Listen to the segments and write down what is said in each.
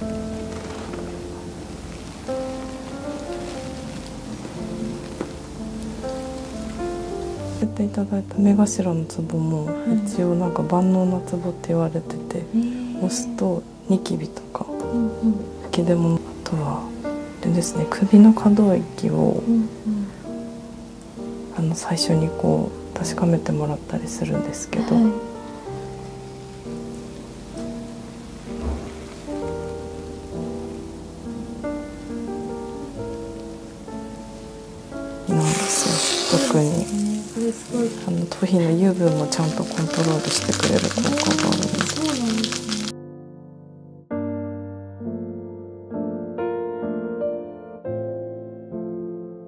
教えていただいた目頭のツボも一応なんか万能なツボって言われてて、押すとニキビとか吹き出物あとはでですね首の可動域を、あの最初にこう確かめてもらったりするんですけど、なんですよ特にあの頭皮の油分もちゃんとコントロールしてくれる効果があるので。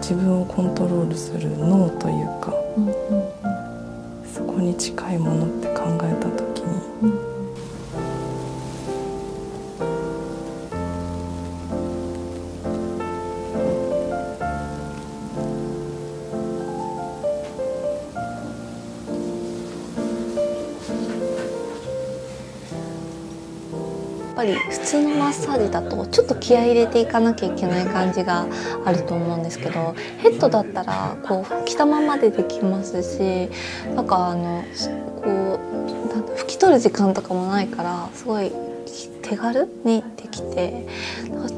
自分をコントロールする脳というか、そこに近いものって考えた時に、うんやっぱり普通のマッサージだとちょっと気合入れていかなきゃいけない感じがあると思うんですけどヘッドだったらこう着たままでできますしなんかあのこう拭き取る時間とかもないからすごい手軽にできて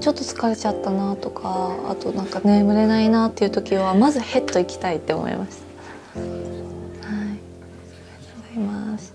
ちょっと疲れちゃったなとかあとなんか眠れないなっていう時はまずヘッド行きたいって思いました。はい、ありがとうございます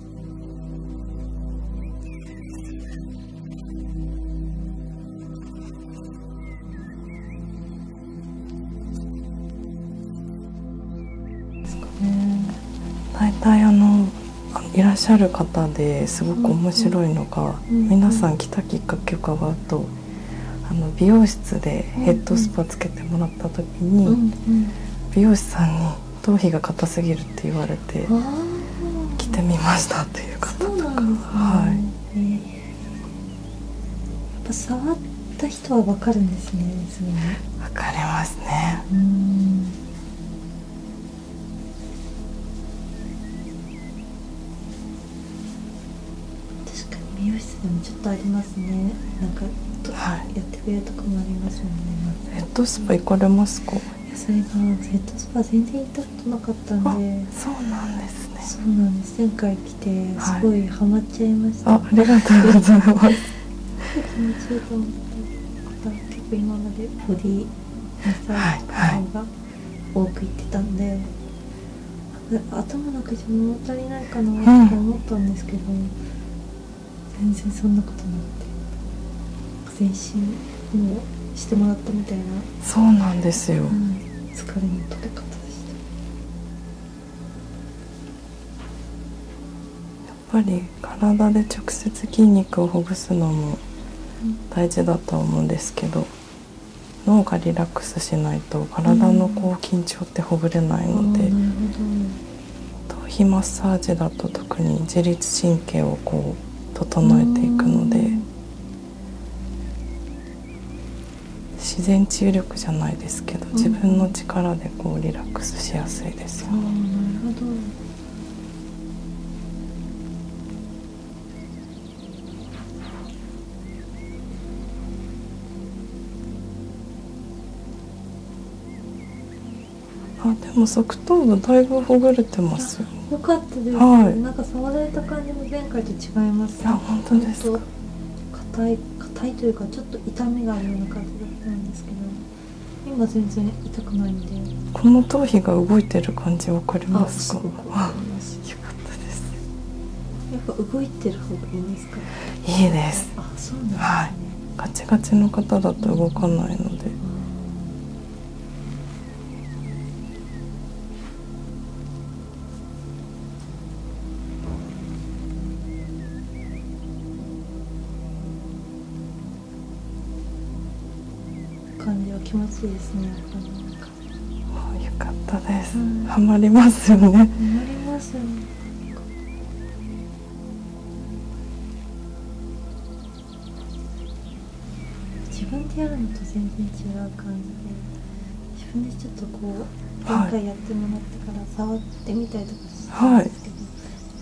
大体あのいらっしゃる方ですごく面白いのが、皆さん来たきっかけ伺うとあの美容室でヘッドスパつけてもらった時に、美容師さんに頭皮が硬すぎるって言われて着てみましたっていう方はい、やっぱ触った人は分かるんですねすに分かりますね確かに美容室でもちょっとありますねなんか、はい、渋とかもありますもんねヘッドスパ行かれますかそれがヘッドスパ全然行ったなかったんでそうなんですそうなんです前回来てすごいハマっちゃいました、ありがとうございます気持ちいいと思った結構今までボディマッサージとが多く行ってたんで、はいはい頭だけじゃ物足りないかなって思ったんですけど、全然そんなことなくて全身もうしてもらったみたいなそうなんですよ、やっぱり体で直接筋肉をほぐすのも大事だとは思うんですけど、脳がリラックスしないと体のこう緊張ってほぐれないので。頭皮マッサージだと特に自律神経をこう整えていくので自然治癒力じゃないですけど、自分の力でこうリラックスしやすいですよね。あでも側頭部だいぶほぐれてますよ。かったです、なんか触られた感じも前回と違います、いや本当ですか。硬い硬いというかちょっと痛みがある感じだったんですけど、今全然痛くないんで。この頭皮が動いてる感じわかりますか。よかったです。やっぱ動いてる方がいいですあそうです、ね、はいガチガチの方だと動かないので感じは気持ちいいですねあよかったです、うん、りますよねハマりますよね自分でやるのと全然違う感じで自分でちょっとこう前回やってもらってから触ってみたりとかするんですけど、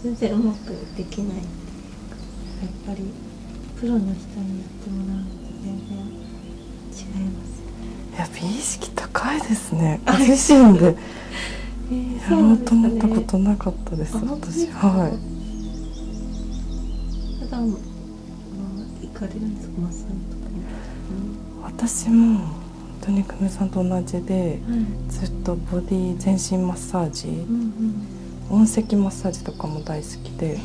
全然うまくできないっていうかやっぱりプロの人にやってもらうのと全然違います、ね、やっぱ意識高いですねご身でやろうと思ったことなかったです、私はい私も本当に久米さんと同じで、ずっとボディ全身マッサージ、う音石マッサージとかも大好きで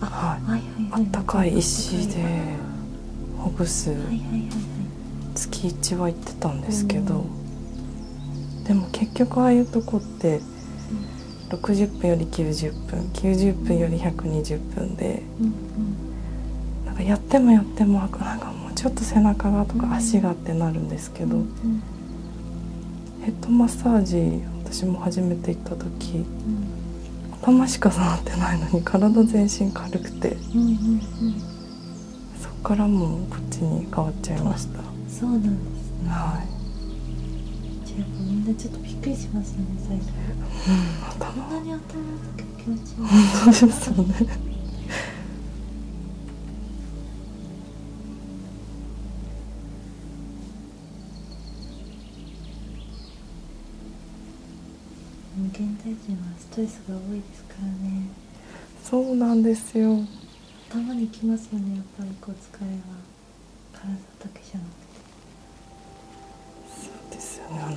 はい、あったかい石でほぐす、はいはいはいはい月1は行ってたんですけど、でも結局ああいうとこって60分より90分90分より120分で、なんかやってもやってもなんかもうちょっと背中がとか足がってなるんですけど、ヘッドマッサージ私も初めて行った時。頭しか触ってないのに体全身軽くて、そこからもうこっちに変わっちゃいましたそうなんですはいじゃみんなちょっとびっくりしましたね最初、うん、こんなに頭の気持ちいい本当ですよね現代人はストレスが多いですからねそうなんですよ頭にきますよねやっぱりこう疲れは体だけじゃですよねあ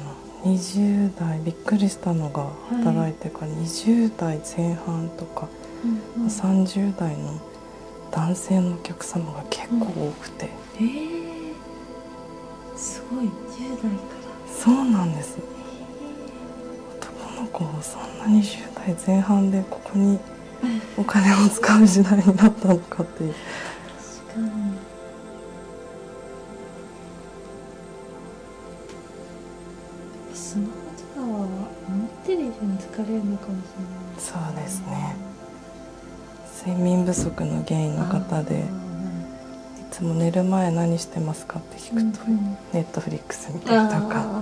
の20代びっくりしたのが働いてから、20代前半とか、う30代の男性のお客様が結構多くて、すごい1代からそうなんです男の子そんなに10代前半でここにお金を使う時代になったのかっていう確かにスマホとかは思ってる以上に疲れるのかもしれないそうですね睡眠不足の原因の方でいつも寝る前何してますかネットフリックスみたりとか。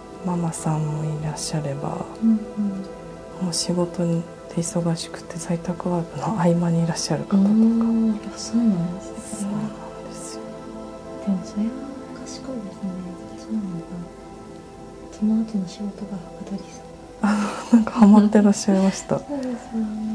ママさんもいらっしゃれば、うんうん、もう仕事で忙しくて在宅ワークの合間にいらっしゃる方とか。そうなんですね。でもそれは賢いですね。そうなんだ。その後の仕事がはかどりそう。あなんかハマってらっしいました。そうですよね。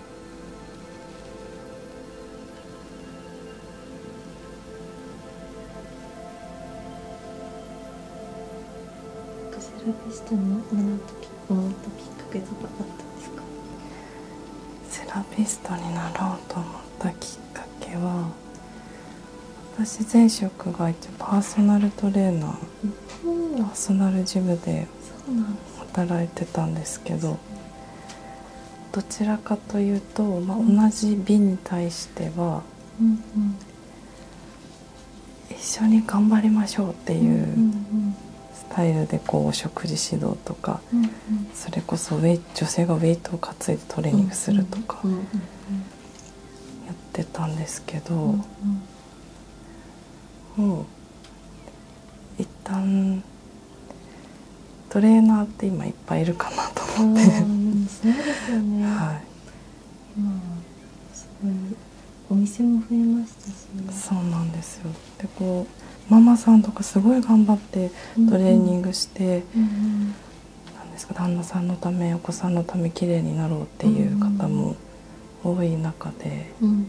カセラビかけとかあったんセラピストになろうと思ったきっかけは私前職が一応パーソナルトレーナー、パーソナルジムで働いてたんですけどどちらかというと、ま同じ美に対しては、一緒に頑張りましょうっていうスタイルでこう食事指導とか、それこそウェイ女性がウェイトを担いでトレーニングするとかやってたんですけど、一旦トレーナーって今いっぱいいるかなと思ってそうすごいお店も増えましたし、ね、そうなんですよでこうママさんとかすごい頑張ってトレーニングして、何ですか旦那さんのためお子さんのため綺麗になろうっていう方も多い中で。うん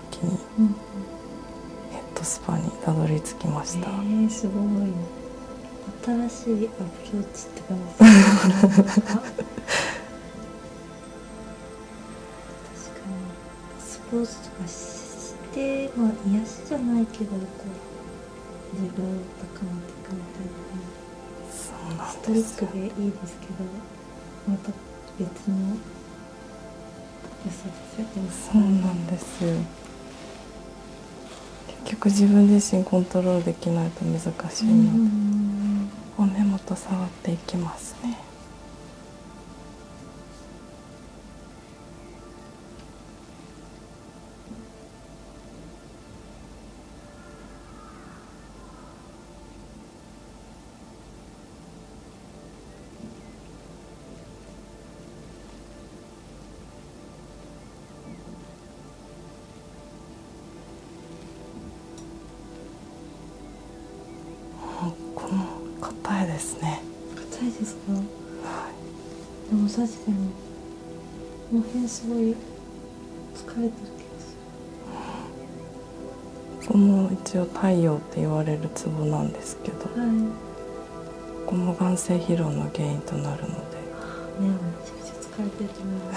時にヘッドスパにたどり着きました、えー、すごい新しいアプローチって感じ確かにスポーツとかしてまあ癒しじゃないけどこう自分を高めていくみたいなそうなんですストイックでいいですけどまた別のそうなんですよ結局自分自身コントロールできないと難しいので根元触っていきますねこの硬いですね硬いですか、でも確かにこの辺すごい疲れてる気がするここも一応太陽って言われるツボなんですけど、ここも眼性疲労の原因となるので目をめちゃくちゃ疲れてると思います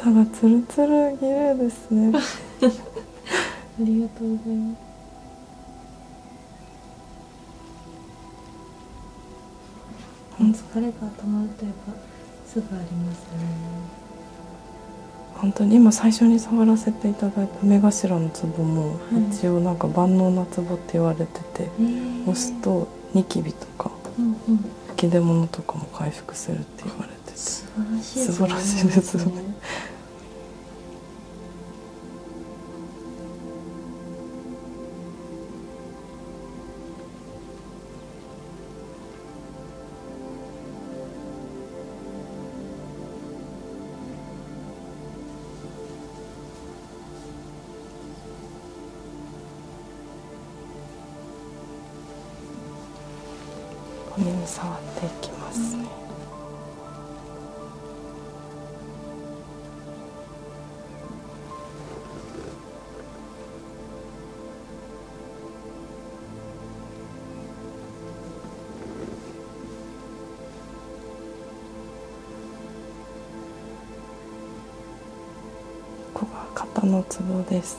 が ツルツル綺麗ですね ありがとうございます疲れが溜まるといえばすぐありますね本当に今最初に触らせていただいた目頭のツボも、はい、一応なんか万能なツボって言われてて、押すとニキビとか、うんうん、吹き出物とかも回復するって言われてて素晴らしいですよね。ね紙に触っていきますね。うんここが肩のツボです。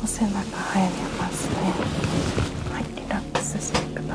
お背中入りますねらお進みくだ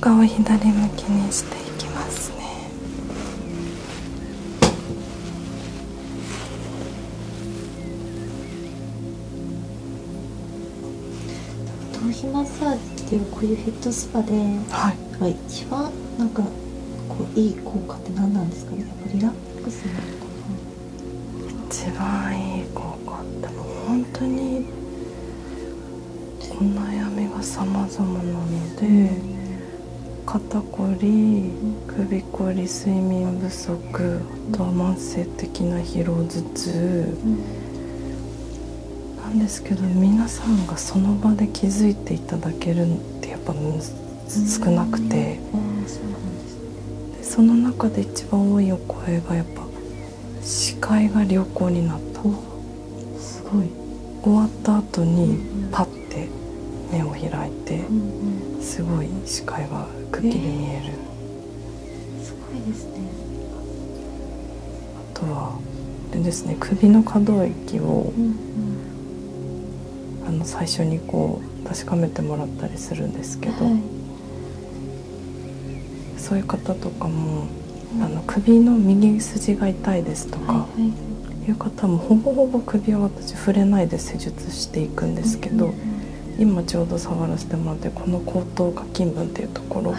顔を左向きにしていきますね頭皮マッサージっていうこういうヘッドスパで、はい、一番なんかこういい効果って何なんですかねやっぱリラックスなのかな一番いい効果ってもう本当にお悩みが様々なので肩こり首こり睡眠不足あとは慢性的な疲労頭痛、なんですけど皆さんがその場で気づいていただけるってやっぱ少なくて、その中で一番多いお声がやっぱ視界が良好になったすごい終わった後にパッて目を開いて、すごい視界がくっきり見える、すごいですねあとはでですね首の可動域を、あの最初にこう確かめてもらったりするんですけど、そういう方とかも、あの首の右筋が痛いですとか、いう方もほぼほぼ首は私触れないで施術していくんですけど、今ちょうど触らせてもらってこの後頭下筋部っていうところ。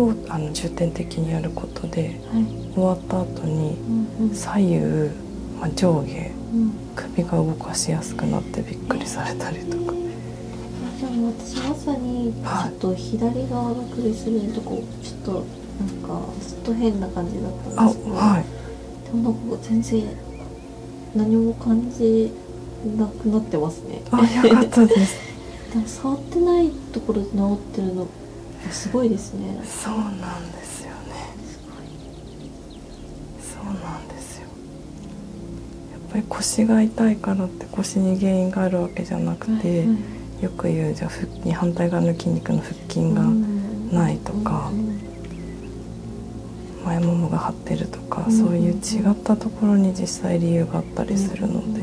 をあの重点的にやることで、終わった後に左右、ま上下、首が動かしやすくなってびっくりされたりとか。でも私まさにちょっと左側の首するとこちょっとなんかずっと変な感じだったんはい、でも全然何も感じなくなってますね。あ、よかったです。触ってないところ治ってるのすごいですね。そうなんですよね。そうなんですよやっぱり腰が痛いからって腰に原因があるわけじゃなくて、よく言うじゃ腹筋反対側の筋肉の腹筋がないとか、前ももが張ってるとか、そういう違ったところに実際理由があったりするので、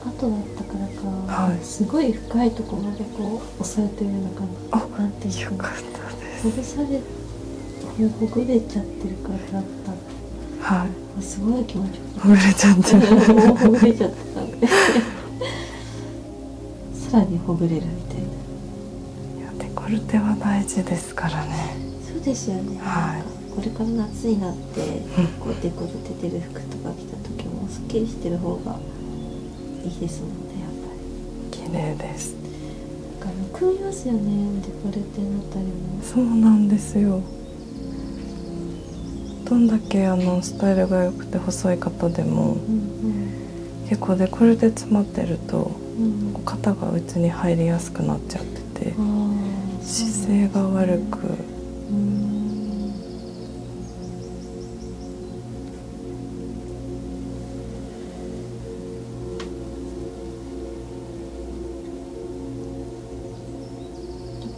後だったからか、すごい深いところまでこう押されてるような感じかほぐれちゃってるからだったはいすごい気持ちほぐれちゃってほぐれちゃった さらにほぐれるみたいないコルテは大事ですからねそうですよねはいこれから夏になってこうデコルテてる服とか着た時もすっきりしてる方がいいですもねやっぱり綺麗ですなんかくみますよねデコレテになったりもそうなんですよどんだけあのスタイルが良くて細い方でも、結構でこれで詰まってると、肩が内に入りやすくなっちゃってて、姿勢が悪く、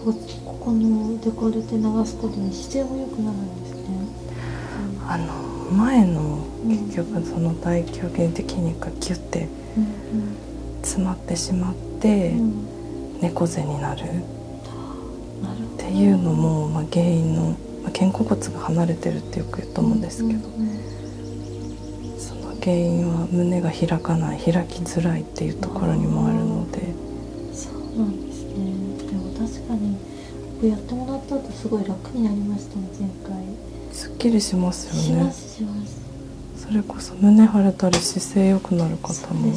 ここのデコルて流す時に姿勢も良くなるんですね。あの前の結局その大胸筋的にがキュッて詰まってしまって猫背になる。っていうのも、まあ、原因の、まあ、肩甲骨が離れてるってよく言うと思うんですけど、その原因は胸が開かない開きづらいっていうところにもあるのでそうなんですねでも確かにやってもらった後すごい楽になりましたね前回すっきりしますよねしますそれこそ胸腫れたり姿勢良くなる方も、ね、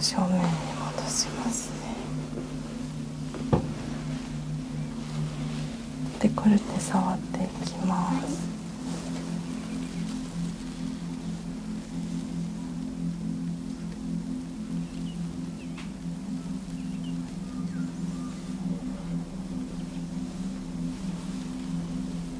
正面に戻しますねで、これで触っていきます、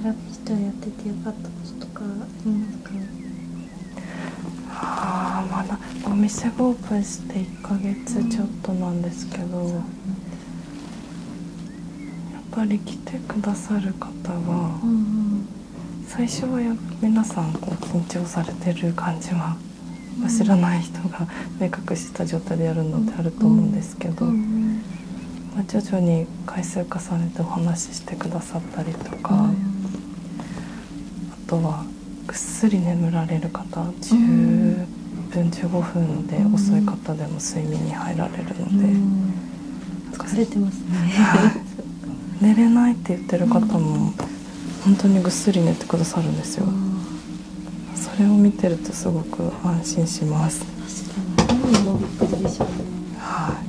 セラピストやっててよかったこととかありますかあまだお店がオープンして1ヶ月ちょっとなんですけど、ん、やっぱり来てくださる方は、うんん、最初はや皆さんこう緊張されてる感じは。知らない人が目隠した状態でやるのっあると思うんですけど、ま徐々に回数重ねてお話ししてくださったりとか、あとはぐっすり眠られる方10分15分で遅い方でも睡眠に入られるので。疲れてますね 寝れないって言ってる方も本当にぐっすり寝てくださるんですよ。それを見てるとすごく安心します。はい。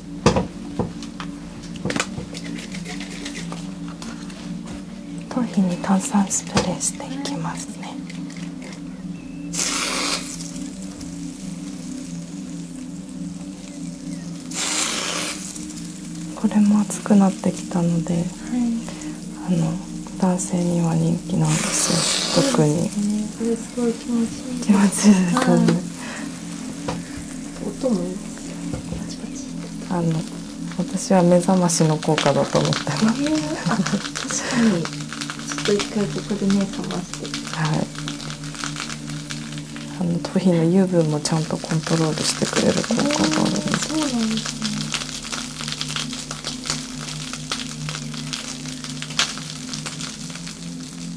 頭皮に炭酸スプレーしていきますねこれも暑くなってきたので、い、あの男性には人気なんです特に、気持ちいい音もいいですよパチパチあの私は目覚ましの効果だと思ってます、えー、あ確にちょっと一回ここで目覚ましてはいあの頭の油分もちゃんとコントロールしてくれる効果があるそうなんですね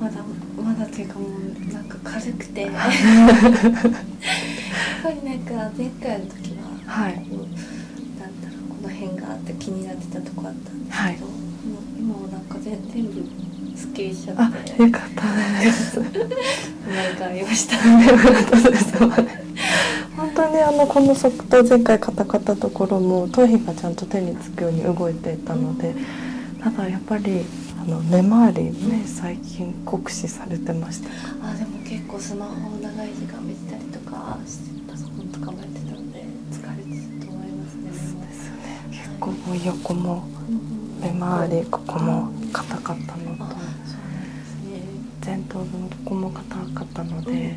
まだまだというかもうなんか軽くてやっぱりなんか前回の時は、はい、なんだろうこの辺があって気になってたとこあったんですけど、今もなんか全全部スッキリしちゃってあよかったよかったです 本当にあのこの側頭前回カタカタところも頭皮がちゃんと手につくように動いていたのでただやっぱりあの根回りね最近酷使されてましたあでも結構スマホを長い時間見てたりとかパソコンとかもやってたので疲れてると思いますね結構もう横も目回りここも硬かったのと、前頭部もここも硬かったので、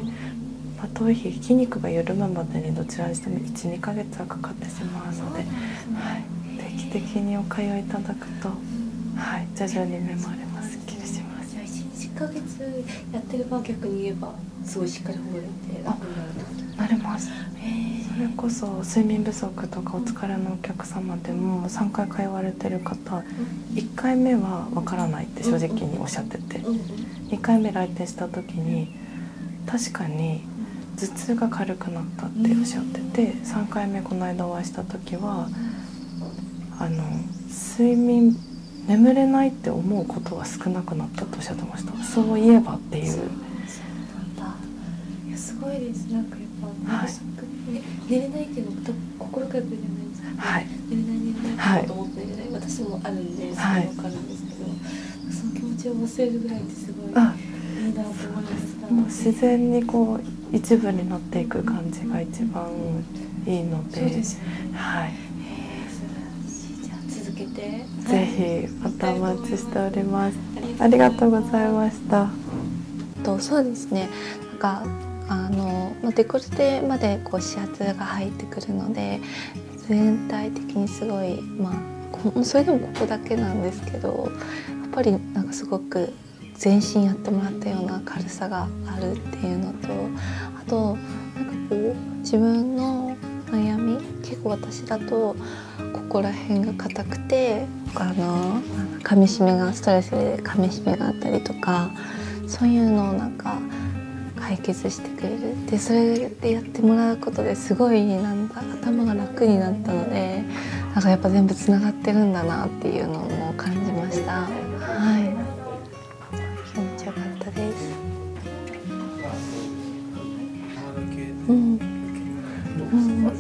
まあ、頭皮筋肉が緩むまでにどちらにしても12ヶ月はかかってしまうので。はい、定期的にお通いいただくと、はい、徐々に目もあれますっきりします。1ヶ月やってれば逆に言えばすごいしっかり覚えて楽なるとなります。それこそ睡眠不足とかお疲れのお客様でも3回通われてる方1回目はわからないって正直におっしゃってて2回目来店した時に確かに頭痛が軽くなったっておっしゃってて3回目この間お会いした時はあの睡眠眠れないって思うことは少なくなったとおっしゃってましたそういえばっていういやすごいですなんかやっぱ、寝れないっていうの心がけじゃないはい、寝れない寝れないって寝れない、はい、私もあるんでそれ分かんですけど、その気持ちを忘れるぐらいってすごいいいなと思いましもう自然にこう一部になっていく感じが一番いいので、うんうんね、続けてぜひまたお待ちしております。ありがとうございました。とそうですね。なんかあのデコルテまでこう視圧が入ってくるので、全体的にすごいまあそれでもここだけなんですけどやっぱりなんかすごく全身やってもらったような軽さがあるっていうのとあとなんかこう自分の悩み結構私だとここら辺が硬くてあの噛みしめがストレスで噛みしめがあったりとかそういうのをなんか解決してくれるでそれ言やってもらうことですごいなんだ頭が楽になったのでなんかやっぱ全部つがってるんだなっていうのも感じました。はい気持ちよかったです。うん。うん、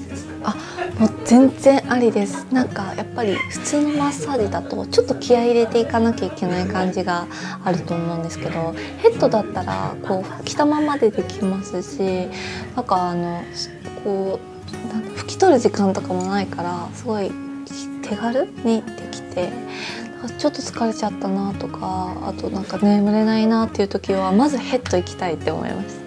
あ、もう全然ありです。なんかやっぱり普通のマッサージだとちょっと気合い入れていかなきゃいけない感じがあると思うんですけど、ヘッドだったらこう拭きたままでできますしなんかあのこう拭き取る時間とかもないからすごい手軽にできてちょっと疲れちゃったなとかあとなんか眠れないなっていう時はまずヘッドいきたいって思いました。